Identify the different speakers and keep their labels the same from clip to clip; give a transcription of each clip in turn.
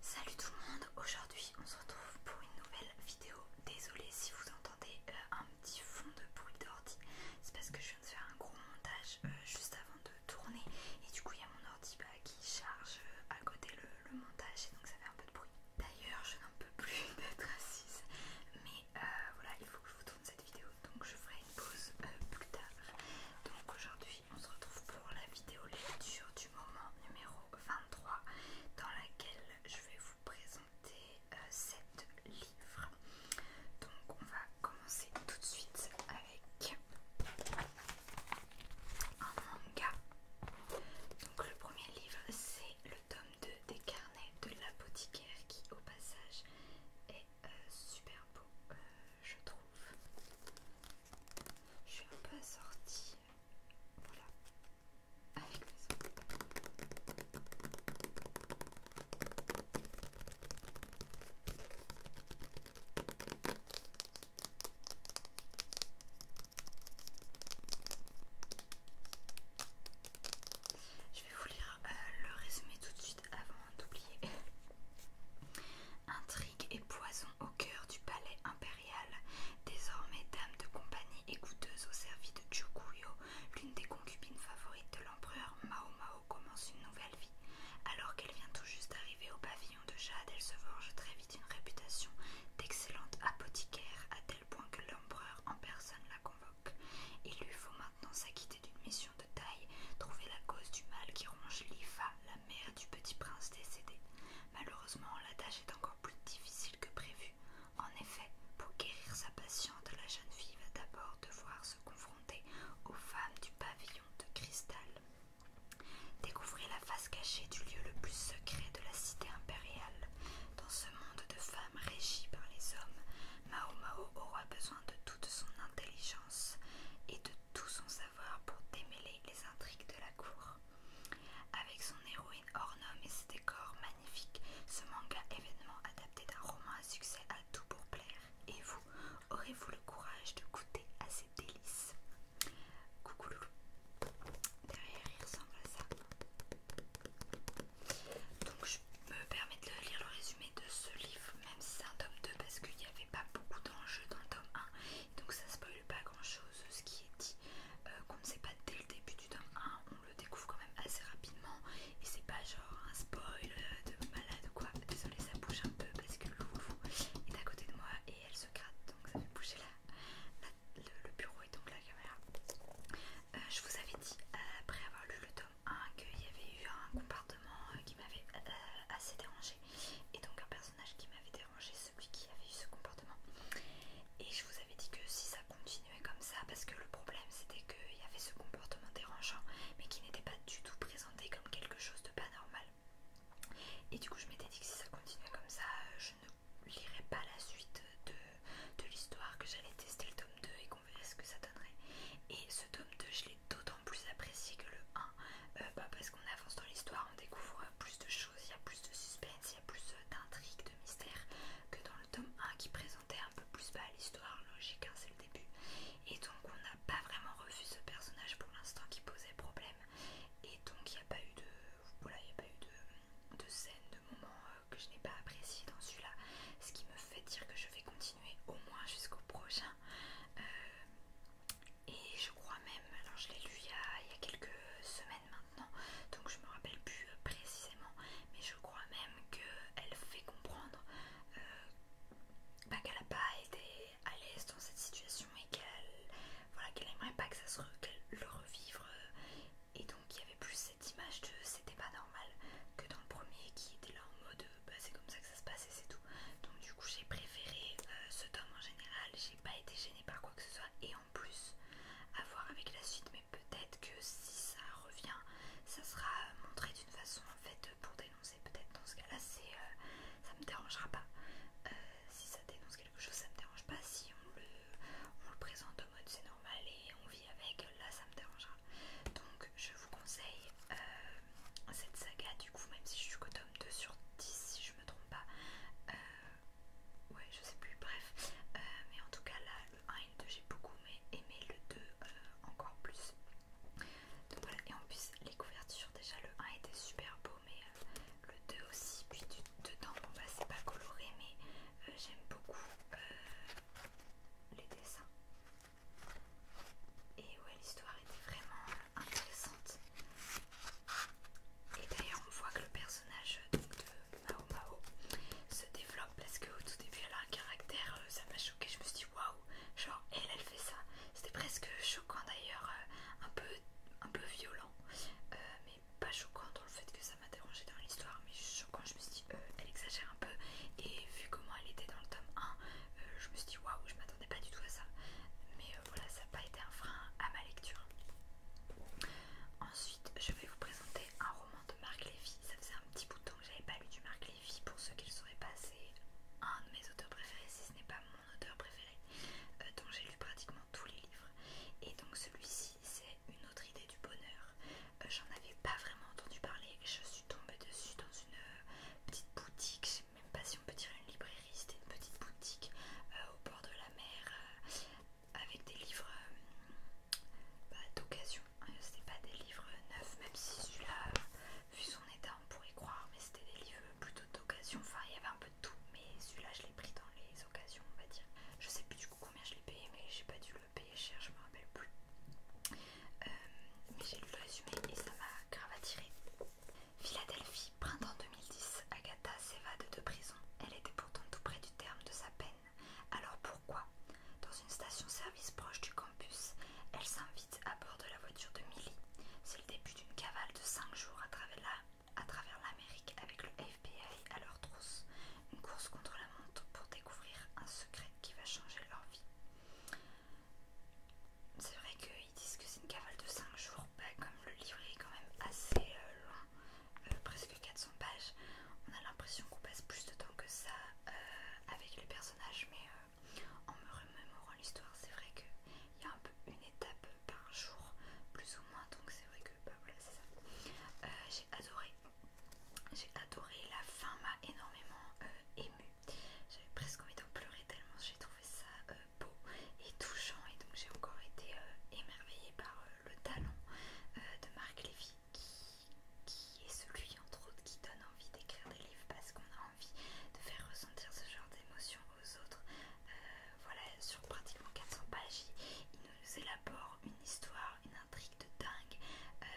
Speaker 1: Salut tout le monde, aujourd'hui on se retrouve pour une nouvelle vidéo. Désolée si vous entendez euh, un petit fond de bruit d'ordi, c'est parce que je viens de faire un gros montage euh, juste avant de tourner et du coup il y a mon ordi bah, qui charge euh, à côté le, montage et donc ça fait un peu de bruit. D'ailleurs je n'en peux plus d'être assise mais voilà il faut que je vous tourne cette vidéo donc je ferai une pause plus tard. Donc aujourd'hui on se retrouve pour la vidéo lecture du moment numéro 23 dans laquelle je vais vous présenter 7 euh, livres. Donc on va commencer tout de suite avec un manga. Donc le premier livre c'est le tome 2 des carnets de l'apothicaire qui au passage est euh, super beau. Euh, je trouve. Je suis un peu assortie, voilà, avec mes autres. Je vais vous lire euh, le résumé tout de suite avant d'oublier. Intrigue et poison au cœur du palais désormais dame de compagnie et goûteuse au service de Chukuyo, l'une des concubines favorites de l'empereur Mao Mao commence une nouvelle vie. Alors qu'elle vient tout juste d'arriver au pavillon de Jade, elle se forge très vite une réputation d'excellente apothicaire, à tel point que l'empereur en personne la convoque. Il lui faut maintenant s'acquitter d'une mission de taille, trouver la cause du mal qui ronge Lifa, la mère du petit prince décédé. Malheureusement, la tâche est encore plus difficile que prévu. En effet, pour guérir sa patiente, la jeune fille va d'abord devoir se confronter aux femmes du pavillon de cristal. Découvrez la face cachée du lieu le plus secret de la cité impériale. Dans ce monde de femmes régies par les hommes, Mao aura besoin de toute son intelligence et de tout son savoir pour démêler les intrigues de la cour. Avec son héroïne hors et ses décors magnifiques, ce manga événement adapté d'un roman à succès a tout pour plaire. Et vous, aurez-vous le courage de goûter à ces délices Coucou loulou Derrière il ressemble à ça. Donc je me permets de lire le résumé de ce livre, même si c'est un tome 2 parce qu'il n'y avait pas beaucoup d'enjeux dans le tome 1. Donc ça spoil pas grand chose ce qui est dit, euh, qu'on ne sait pas dès le début du tome 1, on le découvre quand même assez rapidement et c'est pas genre un spoil euh, de malade ou quoi. Désolée, ça bouge un peu parce que le louvre-fou est à côté de moi et elle se gratte donc ça fait bouger le, bureau et donc la caméra. Euh, je vous avais dit après avoir lu le tome 1 qu'il y avait eu un comportement qui m'avait assez dérangé et donc un personnage qui m'avait dérangé celui qui avait eu ce comportement. Et je vous avais dit que si ça continuait comme ça, parce que le problème c'était qu'il y avait ce comportement dérangeant, mais qui n'était pas du tout présenté comme quelque chose de pas normal. Et du coup, je m'étais dit que si ça continuait comme ça, euh, je ne lirais pas la suite de, de l'histoire, que j'allais tester le tome 2 et qu'on verrait ce que ça donnerait. Et ce tome 2, je l'ai d'autant plus apprécié que le 1, euh, bah, parce bah on avance dans l'histoire, on découvre plus de choses, il y a plus de suspense, il y a plus euh, d'intrigues, de mystères que dans le tome 1 qui présentait un peu plus bas l'histoire, logique, hein, c'est le début. Et donc on n'a pas vraiment revu ce personnage pour l'instant qui posait problème. Et donc il n'y a pas eu de... Voilà, il a pas eu de, de scène, de moment euh, que je n'ai pas apprécié dans celui-là. Ce qui me fait dire que je vais continuer au moins jusqu'au prochain. Euh, et je crois même, alors je l'ai lu il y, a, quelques semaines maintenant, donc je me rappelle plus euh, précisément, mais je crois même qu'elle fait comprendre euh, bah, qu'elle a pas été à l'aise dans cette situation et qu'elle voilà, qu'elle aimerait pas que ça se re, le revivre. Et donc il y avait plus cette image de c'était pas normal que dans le premier qui était là en mode bah, c'est comme ça que ça se passe et c'est tout. Donc du coup j'ai préféré euh, ce tome en général, pas été gênée par quoi que ce soit et en plus à voir avec la suite mais peut-être que si ça revient ça sera euh, montré d'une façon en fait euh, pour dénoncer peut-être dans ce cas là c'est euh, ça me dérangera pas si ça dénonce quelque chose ça me dérange pas si on le, le présente au mode c'est normal et on vit avec là ça me dérangera donc je vous conseille cette saga du coup même si je suis qu'au tome 2 sur 10 je me trompe pas. Euh, ouais, je sais plus, bref. Euh, mais en tout cas, là, le 1 et le 2, j'ai beaucoup aimé le 2 euh, encore plus. Donc voilà, et en plus, les couvertures, déjà, le 1 était super beau, mais le 2 aussi. Puis dedans, bon bah, c'est pas coloré, mais j'aime beaucoup les dessins. Et ouais, l'histoire était vraiment intéressante. Et d'ailleurs on voit que le personnage de Mao Mao se développe parce qu'au tout début elle a un caractère, euh, ça m'a choqué, je me suis dit waouh, genre elle elle fait ça. C'était presque choquant d'ailleurs, euh, un peu, un peu violent, euh, mais pas choquant dans le fait que ça m'a dérangé dans l'histoire, mais choquant, je me suis dit elle exagère un peu et vu comment elle était dans le tome 1, je me suis dit waouh, je m'attendais pas du tout ça. Mais euh, voilà, ça n'a pas été un frein à ma lecture. Ensuite, je vais vous présenter un roman de Marc Lévy. Ça faisait un petit bout de temps que j'avais pas lu du Marc Lévy. Pour ceux qui le sauraient pas, c'est un de mes auteurs préférés, si ce n'est pas mon auteur préféré, euh, dont j'ai lu pratiquement tous les livres. Et donc celui-ci, c'est une autre idée du bonheur. Euh, j'en avais pas vraiment entendu parler. Je suis tombée dessus dans une petite boutique même pas si on peut dire une librairie, c'était une petite boutique euh, au bord de la mer euh, avec des livres euh, bah, d'occasion. c'était pas des livres neufs, même si celui-là, vu son état, on pourrait croire, mais c'était des livres plutôt d'occasion. Enfin, il y avait un peu de tout, mais celui-là, je l'ai pris dans les occasions, on va dire. Je sais plus du coup combien je l'ai payé, mais j'ai pas dû le payer cher, je me rappelle plus. mais j'ai lu le résumé et ça m'a grave attiré. Philadelphie, printemps 2010, Agatha s'évade de prison. Elle était pourtant tout près du terme de sa peine. Alors pourquoi Dans une station-service proche du campus, elle s'invite à bord de la voiture de Millie. C'est le début d'une cavale de 5 jours à travers l'Amérique avec le FBI à leur trousse. Une course contre la montre pour découvrir un secret qui va changer leur vie. C'est vrai que ils disent que c'est une cavale de 5 jours, bah, comme le livret est quand même assez euh, long, euh, presque 400 pages, on a l'impression qu'on passe plus de temps que ça euh, avec les personnages, mais en me remémorant l'histoire, c'est vrai qu'il y a un peu une étape par jour, plus ou moins, donc c'est vrai que bah, voilà, c'est ça. J'ai adoré. J'ai adoré, la fin m'a énormément ému émue. J'avais presque envie d'en pleurer tellement j'ai trouvé ça beau et touchant et donc j'ai encore été euh, émerveillée par euh, le talent euh, de Marc Levy qui, est celui entre autres qui donne envie d'écrire des livres parce qu'on a envie de faire ressentir ce genre d'émotion aux autres voilà sur pratiquement 400 pages il nous élabore une histoire, une intrigue de dingue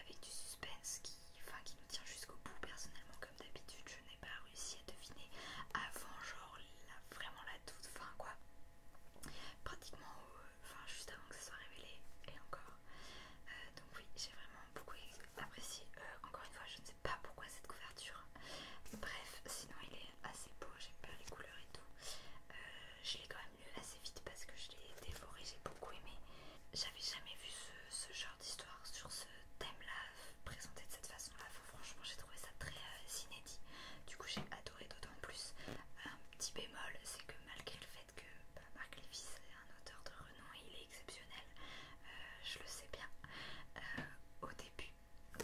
Speaker 1: avec du suspense qui, enfin, qui nous tient jusqu'au bout personnellement comme d'habitude je pas réussi à deviner avant genre vraiment la toute fin quoi pratiquement euh, enfin juste avant que ça soit révélé et encore euh, donc oui j'ai vraiment beaucoup apprécié euh, encore une fois je ne sais pas pourquoi cette couverture bref sinon il est assez beau j'aime bien les couleurs et tout je l'ai quand même lu assez vite parce que je l'ai dévoré j'ai beaucoup aimé j'avais jamais vu ce, ce genre d'histoire sur ce thème là présenter de cette façon-là. Franchement, j'ai trouvé ça très euh, inédit. Du coup, j'ai adoré d'autant plus. Un petit bémol, c'est que malgré le fait que bah, Marc Lévis est un auteur de renom et il est exceptionnel, euh, je le sais bien, euh, au début,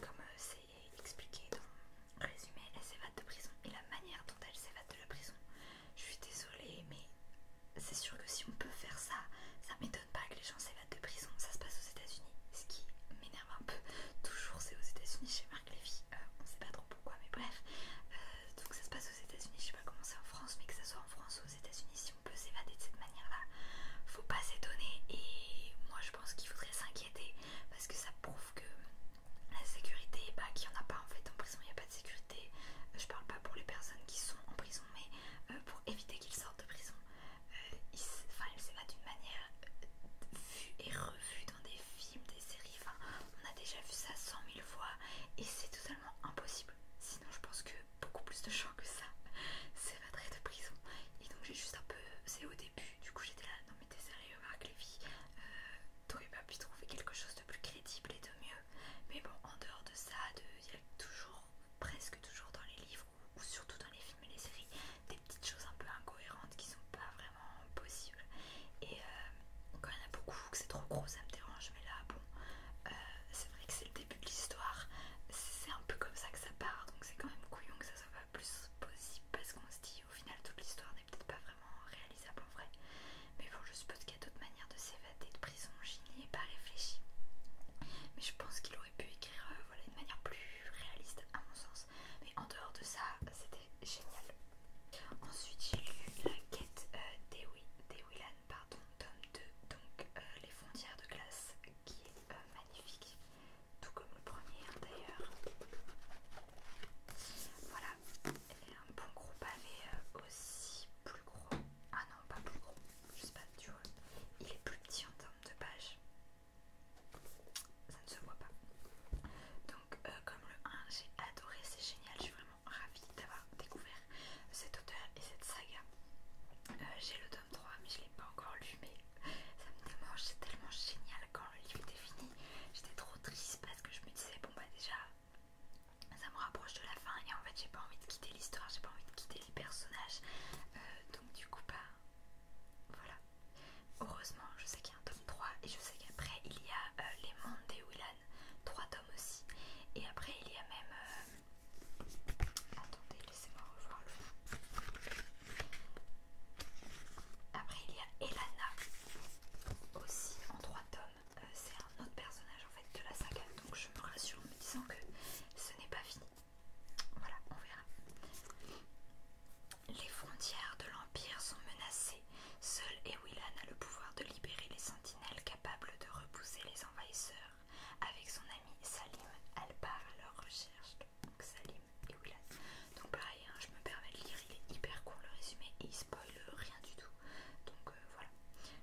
Speaker 1: comme c'est expliqué dans résumé, elle s'évade de prison et la manière dont elle s'évade de la prison, je suis désolée, mais c'est sûr que si on peut faire ça, ça m'étonne pas que les gens de prison, ça se passe aux États-Unis, ce qui m'énerve un peu. Toujours, c'est aux États-Unis chez Marc Lévy, on euh, on sait pas trop pourquoi, mais bref. Euh, donc, ça se passe aux États-Unis, je sais pas comment c'est en France, mais que ça soit en France ou aux États-Unis, si on peut s'évader de cette manière-là, faut pas s'étonner. Et moi, je pense qu'il faudrait s'inquiéter parce que ça prouve que la sécurité, bah, qu'il n'y en a pas en fait en prison, il n'y a pas de sécurité. Euh, je parle pas pour les personnes qui sont en prison, mais pour éviter qu'ils sortent de prison. Euh, enfin, il pas d'une manière euh, vue et revue dans des films, des séries, enfin, on a déjà vu ça cent mille fois et c'est totalement impossible. Sinon, je pense que beaucoup plus de gens que ça c'est s'évaderaient de prison. Et donc, j'ai juste un peu. C'est au début, du coup, j'étais là, non, mais séries sérieux, Marc Levy, Donc, euh, t'aurais pas pu trouver quelque chose de plus crédible et de mieux. Mais bon, en dehors de ça, il y a toujours, presque toujours dans les livres ou, surtout dans les films mais les séries, des petites choses un peu incohérentes qui sont pas vraiment possibles. Et euh, quand il y en a beaucoup, que c'est trop gros, ça me dérange, mais là, bon, euh, c'est vrai que c'est le début de l'histoire, c'est un peu comme ça que ça part, donc c'est quand même couillon que ça soit pas plus possible parce qu'on se dit au final toute l'histoire n'est peut-être pas vraiment réalisable en vrai. Mais bon, je suppose qu'il y a d'autres manières de s'évader de prison, j'y n'y ai pas réfléchi. Mais je pense qu'il aurait pu écrire euh, voilà, de manière plus réaliste à mon sens. Mais en dehors de ça, c'était génial. Ensuite, j'ai lu La quête euh, pardon, tome 2, donc euh, Les frontières de glace, qui est euh, magnifique, tout comme le premier hein, d'ailleurs. Voilà, un bon gros pavé euh, aussi, plus gros. Ah non, pas plus gros, je sais pas, tu vois. Il est plus petit en termes de pages ça ne se voit pas. Donc euh, comme le 1 j'ai adoré, c'est génial, je suis vraiment ravie d'avoir découvert cet auteur et cette saga. Euh, j'ai le tome 3 mais je ne l'ai pas encore lu mais ça me démange, c'est tellement génial quand le livre était fini. J'étais trop triste parce que je me disais bon bah déjà ça me rapproche de la fin et en fait j'ai pas envie de quitter l'histoire, j'ai pas envie de quitter les personnages. Euh, donc du coup pas. Bah, voilà. Heureusement, je sais qu'il y a un tome 3 et je sais qu'après il y a euh, Les Mondes des Willan, 3 tomes aussi. Et après il y a même. Euh, attendez, laissez-moi revoir le. Après il y a Elana aussi en 3 tomes. Euh, c'est un autre personnage en fait de la saga. Donc je me rassure en me disant que ce n'est pas fini. Voilà, on verra. Les frontières de l'Empire sont menacées. Seul Ewilan a le pouvoir de libérer les sentinelles capables de repousser les envahisseurs. Avec son ami Salim, elle part à leur recherche. Donc Salim et Willan. Donc pareil, hein, je me permets de lire, il est hyper court le résumé et il spoil rien du tout. Donc euh, voilà.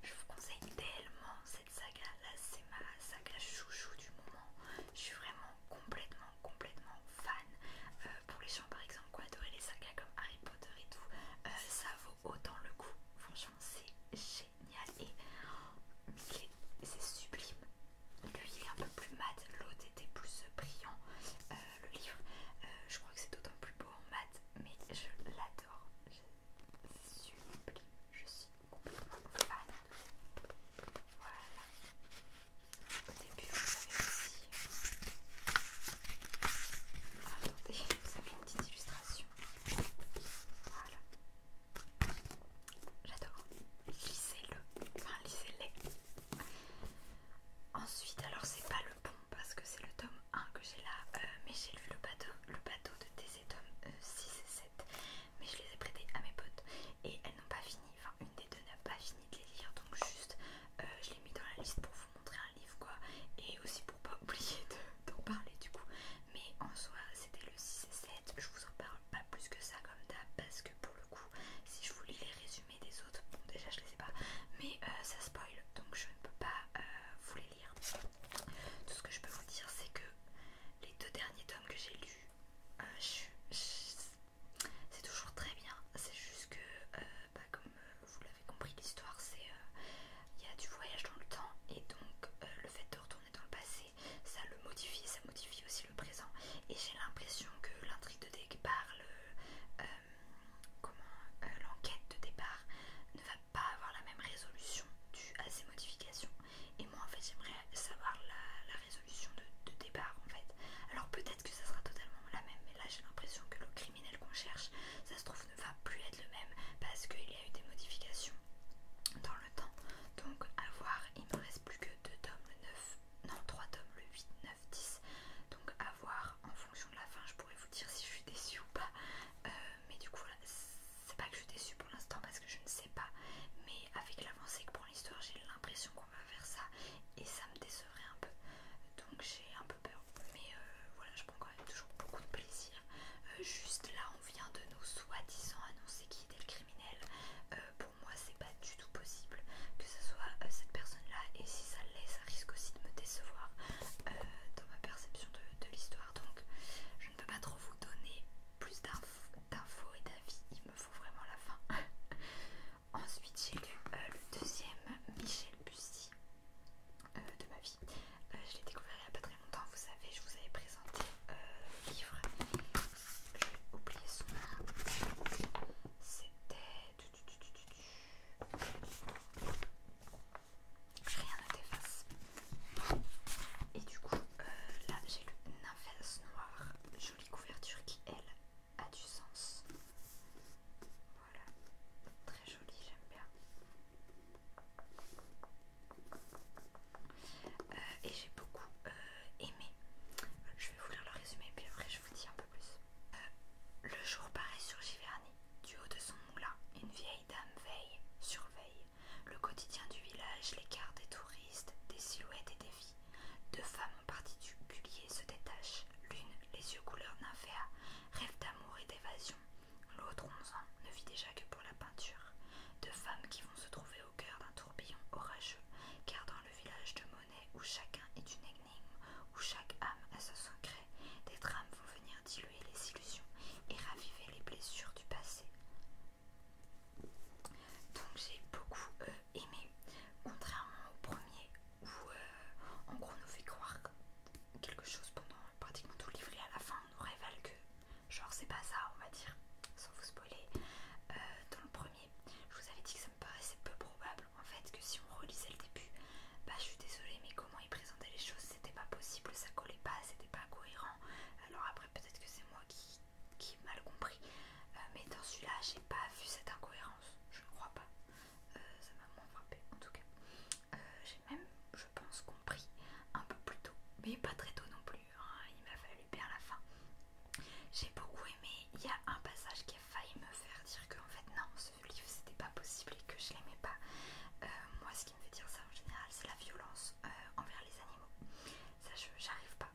Speaker 1: Je vous conseille tellement cette saga. Là, c'est ma saga chouchou du moment. Je suis vraiment complètement complètement, fan. Euh, pour les gens par exemple qui ont les sagas comme Harry Potter et tout, euh, ça vaut autant le coup. Franchement, c'est génial et c'est sublime. Lui il est un peu plus mat, l'autre était plus brillant. Euh, le livre, je crois que c'est d'autant plus beau en mat, mais je l'adore. C'est sublime, je suis voilà. Au début, vous avez aussi. Attendez, vous avez une petite illustration. Voilà. J'adore. lisez le Enfin, lisez les Ensuite, alors c'est pas le bon parce que c'est le tome 1 que j'ai là, mais j'ai lu le bateau, le bateau de TC tome 6 et 7, mais je les ai prêtés à mes potes et elles n'ont pas fini enfin une des deux n'a pas fini de les lire donc juste euh, je l'ai mis dans la liste pour vous montrer un livre quoi et aussi pour pas oublier d'en parler du coup mais en soi c'était le 6 et 7 je vous en parle pas plus que ça comme d'hab parce que pour le coup si je vous lis les résumés des autres bon déjà je les ai pas mais euh, ça spoil donc je ne peux pas euh, vous les lire tout ce que je peux vous dire c'est que les deux derniers tomes que j'ai lus ah, c'est toujours très bien. C'est juste que, euh, bah, comme euh, vous l'avez compris, l'histoire c'est euh, il y a du voyage dans le temps et donc le fait de retourner dans le passé, ça le modifie, ça modifie aussi le présent. Et j'ai l'impression que l'intrigue de départ, l'enquête de départ ne va pas avoir la même résolution due à ces modifications. Et moi en fait j'aimerais savoir la, résolution de, départ en fait. Alors peut-être que ça sera totalement la même, mais là j'ai l'impression que le criminel qu'on cherche, ça se trouve ne va plus être le même parce qu'il y a eu des modifications dans le temps. Donc à voir, il me reste plus que 2 tomes, le 9, non 3 tomes, le 8, 9, 10. Donc à voir en fonction de la fin, je pourrais vous dire si je suis déçue ou pas. Euh, mais du coup c'est pas que je suis déçue pour l'instant parce que je ne sais pas. Mais avec l'avancée que prend l'histoire, j'ai l'impression qu'on va faire ça et ça me décevrait un peu donc j'ai un peu peur mais euh, voilà je prends quand même toujours beaucoup de plaisir euh, juste là on vient de nous soi-disant annoncer qui était le criminel euh, pour moi c'est pas du tout possible que ce soit cette personne là et si ça l'est ça risque aussi de me décevoir dans ma perception de l'histoire donc je ne peux pas trop vous donner plus d'infos d'infos et d'avis, il me faut vraiment la fin. Ensuite, j'ai lu euh, le deuxième Michel Bussy euh, de ma vie. Euh, je l'ai découvert il n'y a pas très longtemps, vous savez, je vous avais présenté le livre. J'ai oublié son nom. C'était. Rien ne t'efface. Et du coup, là j'ai lu Nymphès Noir couverture qui, elle, a du sens. Voilà, très jolie, j'aime bien. Euh, et j'ai beaucoup euh, aimé. Je vais vous lire le résumé, puis après je vous dis un peu plus. Euh, le jour paraît sur Giverny. Du haut de son moulin, une vieille dame veille, surveille le quotidien du village, les l'écart des touristes, des silhouettes et des vies. Deux femmes en culier se détachent. L'une, les yeux couleur nymphéa, rêve d'amour et d'évasion. L'autre, onze ans, ne vit déjà que pour la peinture. Deux femmes qui vont se trouver au cœur d'un tourbillon orageux, car dans le village de Monet, où chacun est une énigme, où chaque âme a son secret, des drames vont venir diluer les illusions et raviver les blessures du passé. Donc j'ai beaucoup euh, aimé, contrairement au premier où euh, en gros on nous fait croire quelque chose pendant pratiquement tout le livret à la fin on nous révèle que genre c'est pas ça on va dire, sans vous spoiler. Euh, dans le premier, je vous avais dit que ça me paraissait peu probable en fait que si on relisait le début, bah je suis désolée mais comment il présentait les choses c'était pas possible, ça collait pas, c'était pas cohérent. Alors après peut-être que c'est moi qui qui mal compris. Euh, mais dans celui-là, j'ai pas vu cette incohérence, je crois pas. Euh, ça m'a moins frappé en tout cas. Euh, j'ai même, je pense, compris un peu plus tôt, mais pas très tôt non plus. Hein. Il m'a fallu perdre la fin. J'ai beaucoup aimé. Il y a un passage qui a failli me faire dire que en fait non, ce livre c'était pas possible et que je l'aimais pas. moi, ce qui me fait dire ça en général, c'est la violence envers les animaux ça j'arrive pas.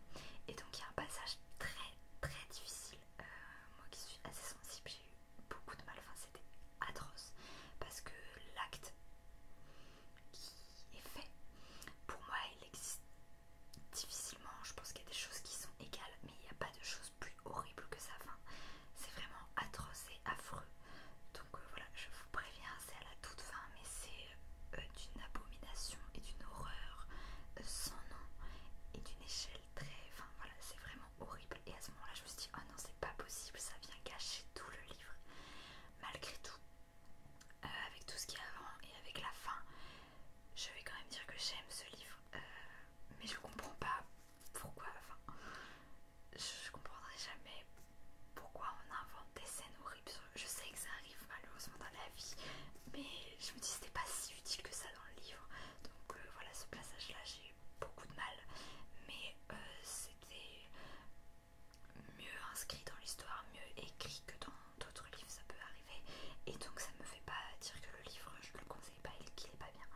Speaker 1: Et donc il y a un passage très très difficile. Euh, moi qui suis assez sensible, j'ai eu beaucoup de mal. Enfin, c'était atroce parce que l'acte qui est fait, pour moi, il existe difficilement. Je pense qu'il y a des choses qui sont égales, mais il n'y a pas de choses plus horribles que ça. fin c'est vraiment atroce et affreux. Donc euh, voilà, je vous préviens, c'est à la toute fin, mais c'est euh, d'une abomination et d'une horreur euh, sans nom et d'une échelle très... Enfin voilà, c'est vraiment horrible. Et à ce moment-là, je me suis dit, oh non, c'est pas possible, ça vient cacher tout le livre. Malgré tout, euh, avec tout ce qui y avant et avec la fin, je vais quand même dire que j'aime ce livre. mais je comprends pas pourquoi, enfin, je comprendrai jamais pourquoi on invente des scènes horribles je sais que ça arrive malheureusement dans la vie, mais je me dis c'était pas si utile que ça dans le livre. Donc euh, voilà, ce passage-là, j'ai eu beaucoup de mal, mais euh, c'était mieux inscrit dans l'histoire, mieux écrit que dans d'autres livres, ça peut arriver. Et donc ça me fait pas dire que le livre, je le conseille pas et qu'il est pas bien.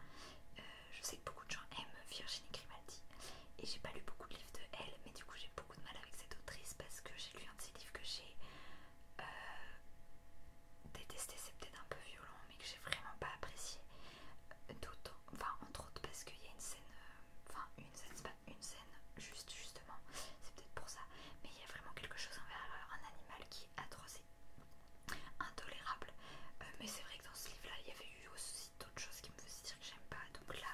Speaker 1: Euh, je sais que beaucoup de gens aiment Virginie Grimaldi et j'ai pas lu beaucoup de livres de elle, mais du coup j'ai beaucoup de mal avec cette autrice parce que j'ai lu un de ses livres que j'ai euh, détester détesté, c'est peut-être un peu violent, mais que j'ai vraiment pas apprécié. enfin, entre autres, parce qu'il y a une scène, euh, enfin, une scène, c'est pas une scène, juste justement, c'est peut-être pour ça, mais il y a vraiment quelque chose envers euh, un animal qui est atroce intolérable. mais c'est vrai que dans ce livre-là, il y avait eu aussi d'autres choses qui me faisaient dire que j'aime pas, donc là,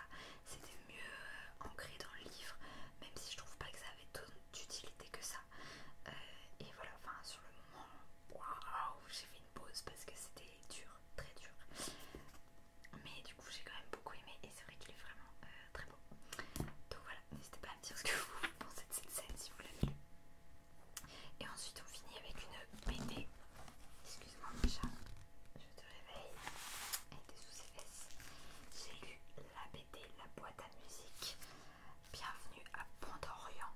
Speaker 1: c'était mieux euh, ancré dans le livre, même si je trouve pas que ça avait tant d'utilité que ça. Euh, et voilà, enfin sur le moment, waouh, j'ai fait une pause parce que c'était dur, très dur. Mais du coup, j'ai quand même beaucoup aimé et c'est vrai qu'il est vraiment euh, très beau. Donc voilà, n'hésitez pas à me dire ce que vous pensez de cette scène si vous l'avez lu. Et ensuite, on finit avec une BD. Excuse-moi, mon chat, je te réveille. Elle était sous ses fesses. J'ai lu la BD la boîte à musique. Bienvenue à Pandorian.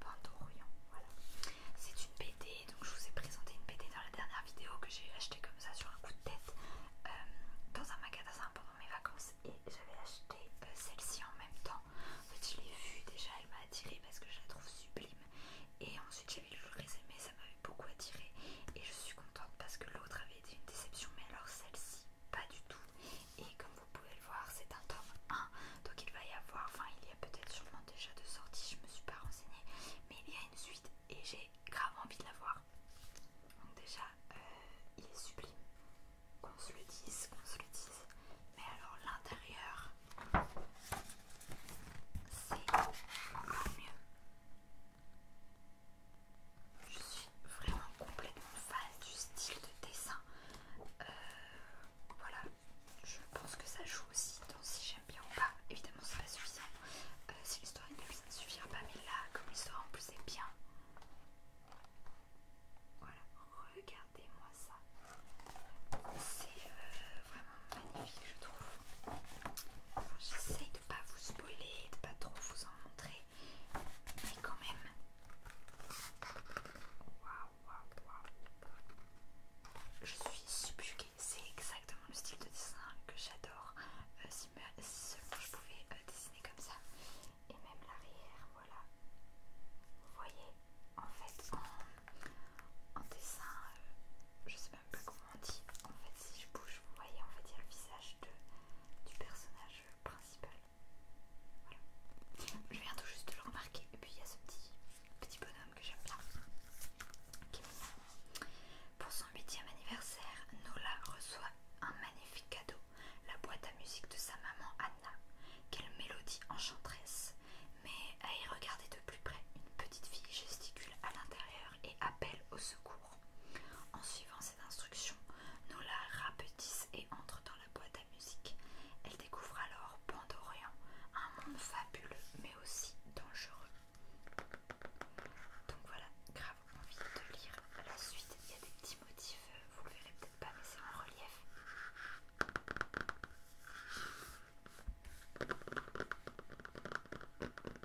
Speaker 1: Pandorian, voilà. C'est une BD, donc je vous ai présenté une BD dans la dernière vidéo que j'ai acheté comme ça sur un coup de tête euh, dans un magasin pendant mes vacances et j'avais acheté euh, celle-ci en même temps. En fait, je l'ai vue déjà, elle m'a attirée parce que je la trouve sublime. Et ensuite, j'avais lu les aimé, ça m'avait beaucoup attiré et je suis contente parce que l'autre avait une déception, mais alors celle-ci, pas du tout. Et comme vous pouvez le voir, c'est un tome 1, donc il va y avoir, enfin il y a peut-être sûrement déjà deux sorties, je me suis pas renseignée, mais il y a une suite et j'ai grave envie de la voir. Donc déjà, euh, il est sublime, qu'on se le dise, qu'on se le dise. Mais alors l'intérieur, c'est encore mieux. Je suis vraiment complètement fan du style de dessin. Euh, voilà, je pense que ça joue aussi dans si j'aime bien ou pas. Évidemment, c'est pas suffisant. Euh, si l'histoire est bien ça ne suffira pas. Mais là, comme l'histoire en plus est bien, voilà, regardez-moi ça. C'est euh, vraiment magnifique, je trouve. J'essaye de pas vous spoiler, de pas trop vous en montrer, mais quand même. Waouh, waouh, waouh. Je suis subjuguée. C'est exactement le style de dessin que j'adore. Euh, si, seulement je pouvais euh, dessiner comme ça. Et même l'arrière, voilà. Vous voyez, en fait, en, dessin, euh, je sais même pas comment dit, en fait, si je bouge, vous voyez, il y a le visage du personnage principal. Voilà. Je viens tout juste de le remarquer. Et puis il y a ce petit, petit bonhomme que j'aime bien. Pour son huitième anniversaire, Nola reçoit un magnifique cadeau, la boîte à musique de sa maman Anna. Quelle mélodie enchanteresse! Mais à y regarder de plus près, une petite fille gesticule à l'intérieur et appelle au secours. En suivant cette instruction, Nola rapetisse et entre dans la boîte à musique. Elle découvre alors Pandorian, un monde fabuleux mais aussi dangereux. Donc voilà, grave envie de lire la suite. Il y a des petits motifs, euh, vous le verrez peut-être pas, mais c'est en relief.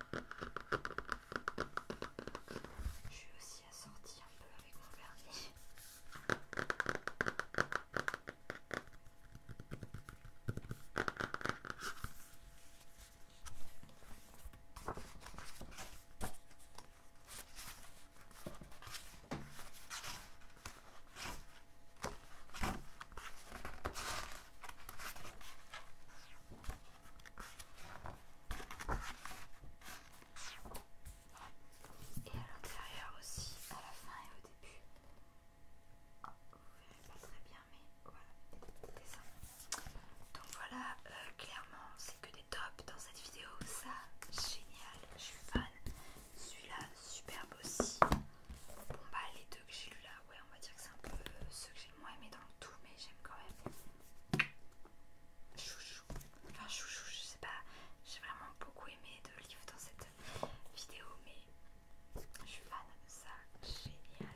Speaker 1: Je suis aussi sortir un peu avec mon vernis. Et à l'intérieur aussi, à la fin et au début. Ah, vous verrez pas très bien, mais voilà, des dessins. Donc voilà, euh, clairement, c'est que des tops dans cette vidéo. Ça, génial, je suis fan. Celui-là, superbe aussi. Bon, bah, les deux que j'ai lu là, ouais, on va dire que c'est un peu euh, ce que j'ai moi aimé dans le tout, mais j'aime quand même. Chouchou. Enfin, chouchou, je sais pas. J'ai vraiment beaucoup aimé de livres dans cette vidéo, mais je suis fan. de Ça, génial.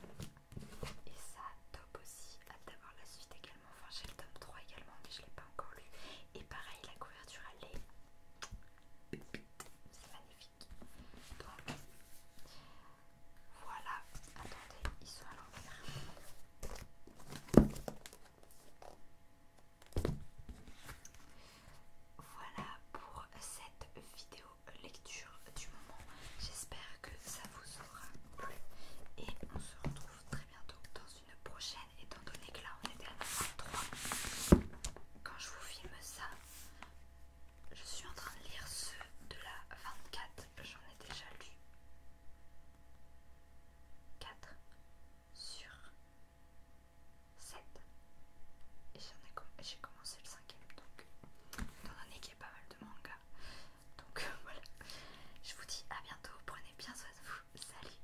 Speaker 1: Et ça, top aussi. Hâte d'avoir la suite également. Enfin, j'ai le tome 3 également, mais je l'ai pas encore lu. Et pareil, la couverture, elle est. C'est magnifique. Voilà, attendez, ils sont à l'envers. Voilà pour cette vidéo lecture du moment. J'espère que ça vous aura plu et on se retrouve très bientôt dans une prochaine étant donné que là on était à 3 quand je vous filme ça je suis en train de lire ceux de la 24, j'en ai déjà lu 4 sur 7 et j'ai commencé le cinquième donc étant donné qu'il y a pas mal de mangas donc voilà je vous dis à bientôt prenez bien soin de vous salut